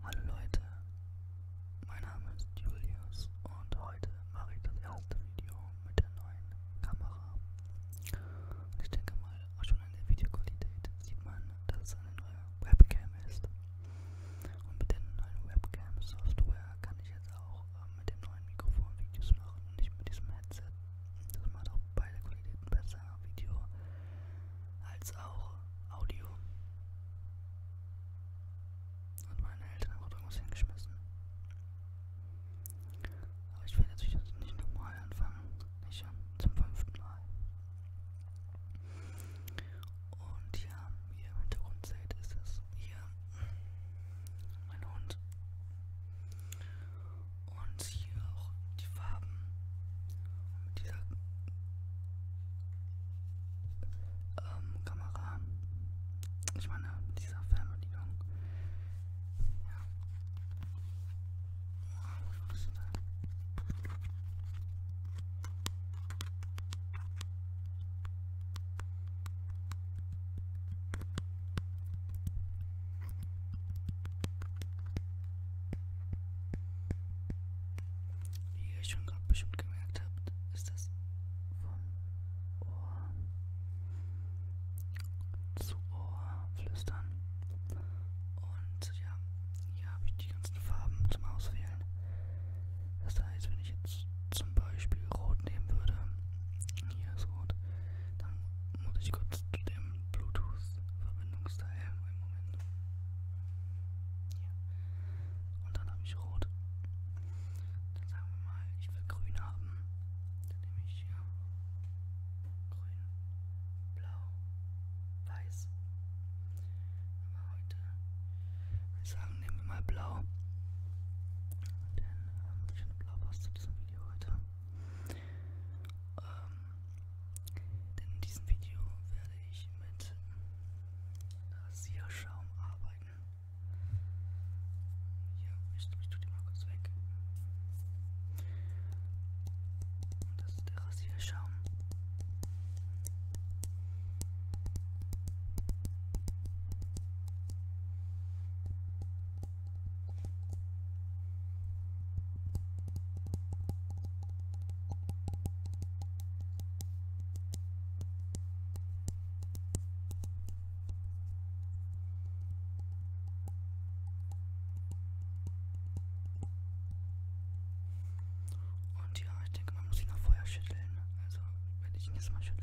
Hallo Leute, mein Name ist Julius und heute mache ich das erste Video mit der neuen Kamera. Und ich denke mal, auch schon an der Videoqualität sieht man, dass es eine neue Webcam ist. Und mit der neuen Webcam-Software kann ich jetzt auch äh, mit dem neuen Mikrofon Videos machen und nicht mit diesem Headset. Das macht auch beide Qualitäten besser, Video als auch Audio. Und meine Eltern haben irgendwas hingeschmissen. Aber ich will natürlich nicht nochmal anfangen. Nicht zum fünften Mal. Und ja, wie ihr im Hintergrund seht, ist es hier mein Hund. Und hier auch die Farben. Und mit dieser ähm, Kamera. Ich meine, mit dieser Fernbedienung. Ja. Was ist das? Wie ihr schon gerade bestimmt gemerkt habt, ist das von Ohr zu Ohr flüstern. Und ja, hier habe ich die ganzen Farben zum Auswählen. Das heißt, wenn ich jetzt zum Beispiel Rot nehmen würde, hier ist Rot, dann muss ich kurz zu dem Bluetooth-Verbindungsteil. Einen Moment. Hier. Und dann habe ich rot. Dann sagen wir mal, ich will grün haben. Dann nehme ich hier grün, blau, weiß. Aber heute würde ich sagen, nehmen wir mal blau. Denn ähm, ich finde blau passt zu diesem Video heute. Ähm, denn in diesem Video werde ich mit Rasierschaum arbeiten. Hier, ich, ich tue die mal kurz weg. Und das ist der Rasierschaum. Und ja, ich denke, man muss ihn noch vorher schütteln. Also werde ich ihn jetzt mal schütteln.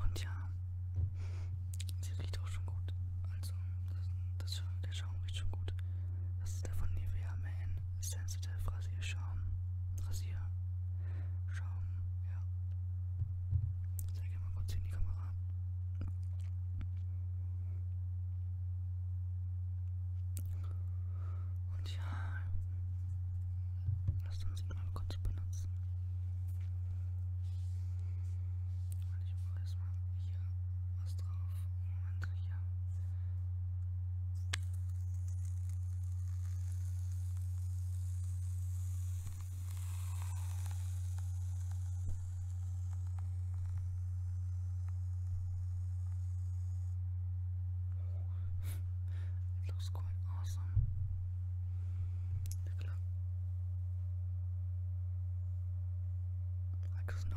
Und ja, sie riecht auch schon gut. Also, das, das, der Schaum riecht schon gut. Das ist der von Nivea Man Sensitive Rasierschaum. Rasierschaum, ja. Zeig mal kurz in die Kamera. Und ja, lasst uns ihn mal kurz benutzen. Und ich mache erstmal hier was drauf. Moment, hier. it looks quite awesome. Look at I just know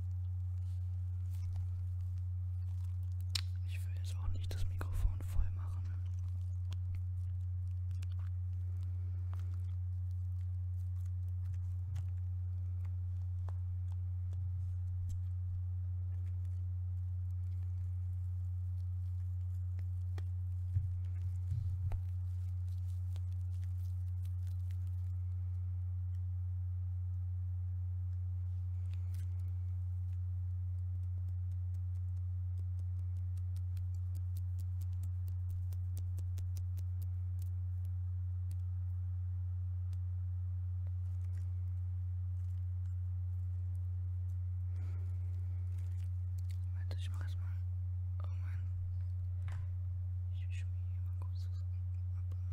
Ich will jetzt auch nicht das Mikrofon voll machen. Warte, ich mach erstmal. Oh Mann. Ich mische mich hier mal kurz zusammen. Aber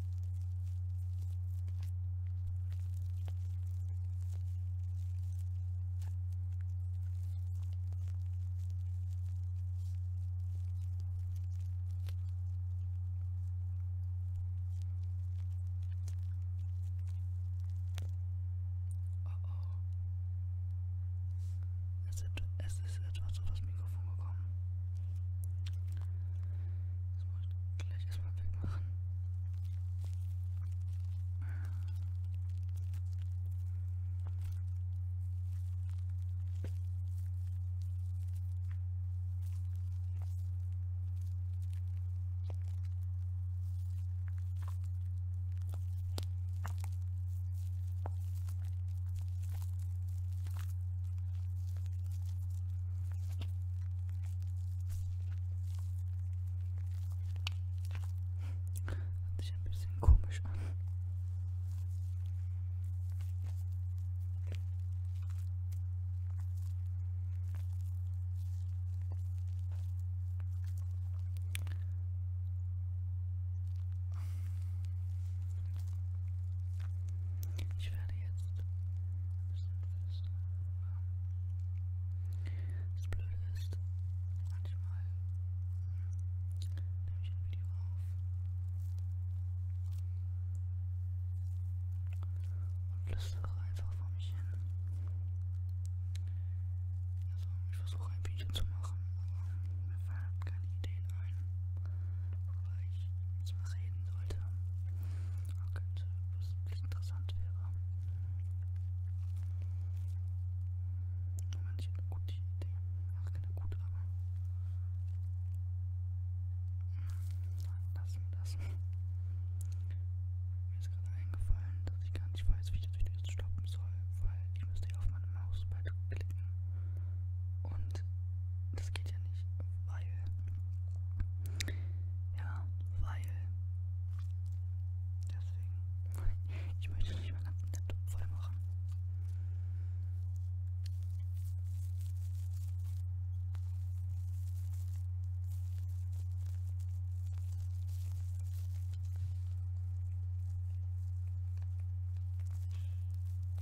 Oh oh. Es ist etwas auf das Mikrofon gekommen. Das muss ich gleich erstmal wegmachen. Hört sich ein bisschen komisch an. Ich werde werde jetzt ein bisschen Füße machen. Das Blöde ist, manchmal nehme ich ein Video auf und flüstere einfach vor mich hin. Also ich versuche ein Video zu machen, aber mir fallen keine Ideen ein worüber ich reden sollte. Könnte, oh was wirklich interessant wäre. Moment, ich habe eine gute Idee. Ach, keine gute, aber. Lassen wir das. Mir ist gerade eingefallen, dass ich gar nicht weiß, wie ich das Video jetzt stoppen soll, weil ich müsste ja auf meine Maus bald klicken. Und das geht ja nicht, weil, ja, weil, deswegen, ich möchte das nicht mal ganz nett voll machen.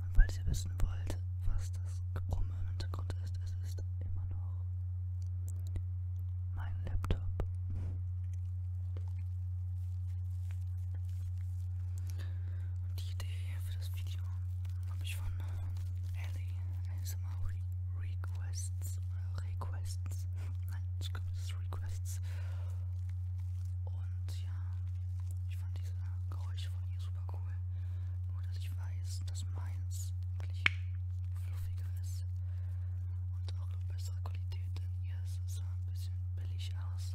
Und falls ihr wissen wollt, was das Gebrumme im Hintergrund ist, es ist immer noch mein Laptop. Und die Idee für das Video habe ich von Ellie ASMR Re Requests. Requests. Nein, ich glaube, das ist Requests. Und ja, ich fand diese Geräusche von ihr super cool. Nur, dass ich weiß, dass meins wirklich fluffiger ist und auch eine bessere Qualität, denn ihr sah ein bisschen billig aus.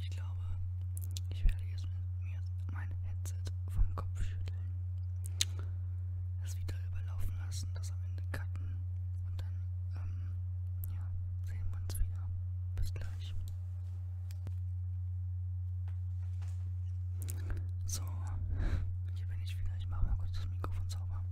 Ich glaube, ich werde jetzt mir mein Headset vom Kopf schütteln. Es wieder überlaufen lassen, dass am Ende Katten und dann, ähm, ja, sehen wir uns wieder. Bis gleich. So, ich bin nicht wieder. Ich mache mal kurz das Mikrofon sauber.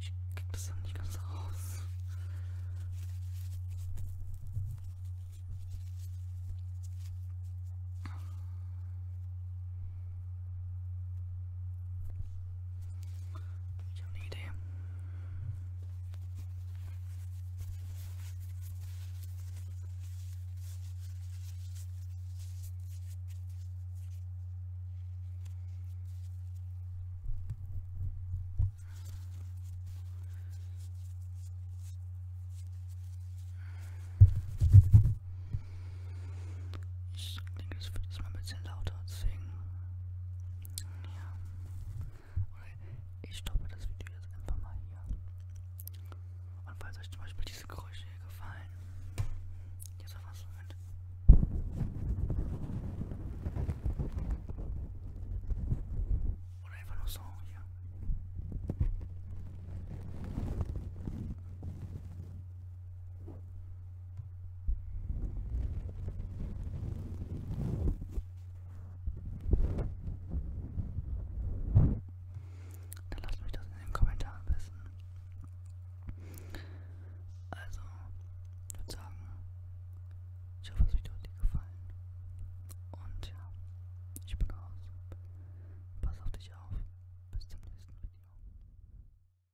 Ich krieg das dann nicht ganz raus. Ich habe eine Idee. Ich denke, es wird jetzt mal ein bisschen lauter, deswegen ja. Okay, ich stoppe das Video jetzt einfach mal hier. Und falls euch zum Beispiel diese Geräusche hier gefallen, jetzt auf was Moment. Oder einfach nur so hier. Dann lasst mich das in den Kommentaren wissen. Also, ich würde sagen, ich hoffe, es hat dir gefallen. Und ja, ich bin raus. Pass auf dich auf. Bis zum nächsten Video.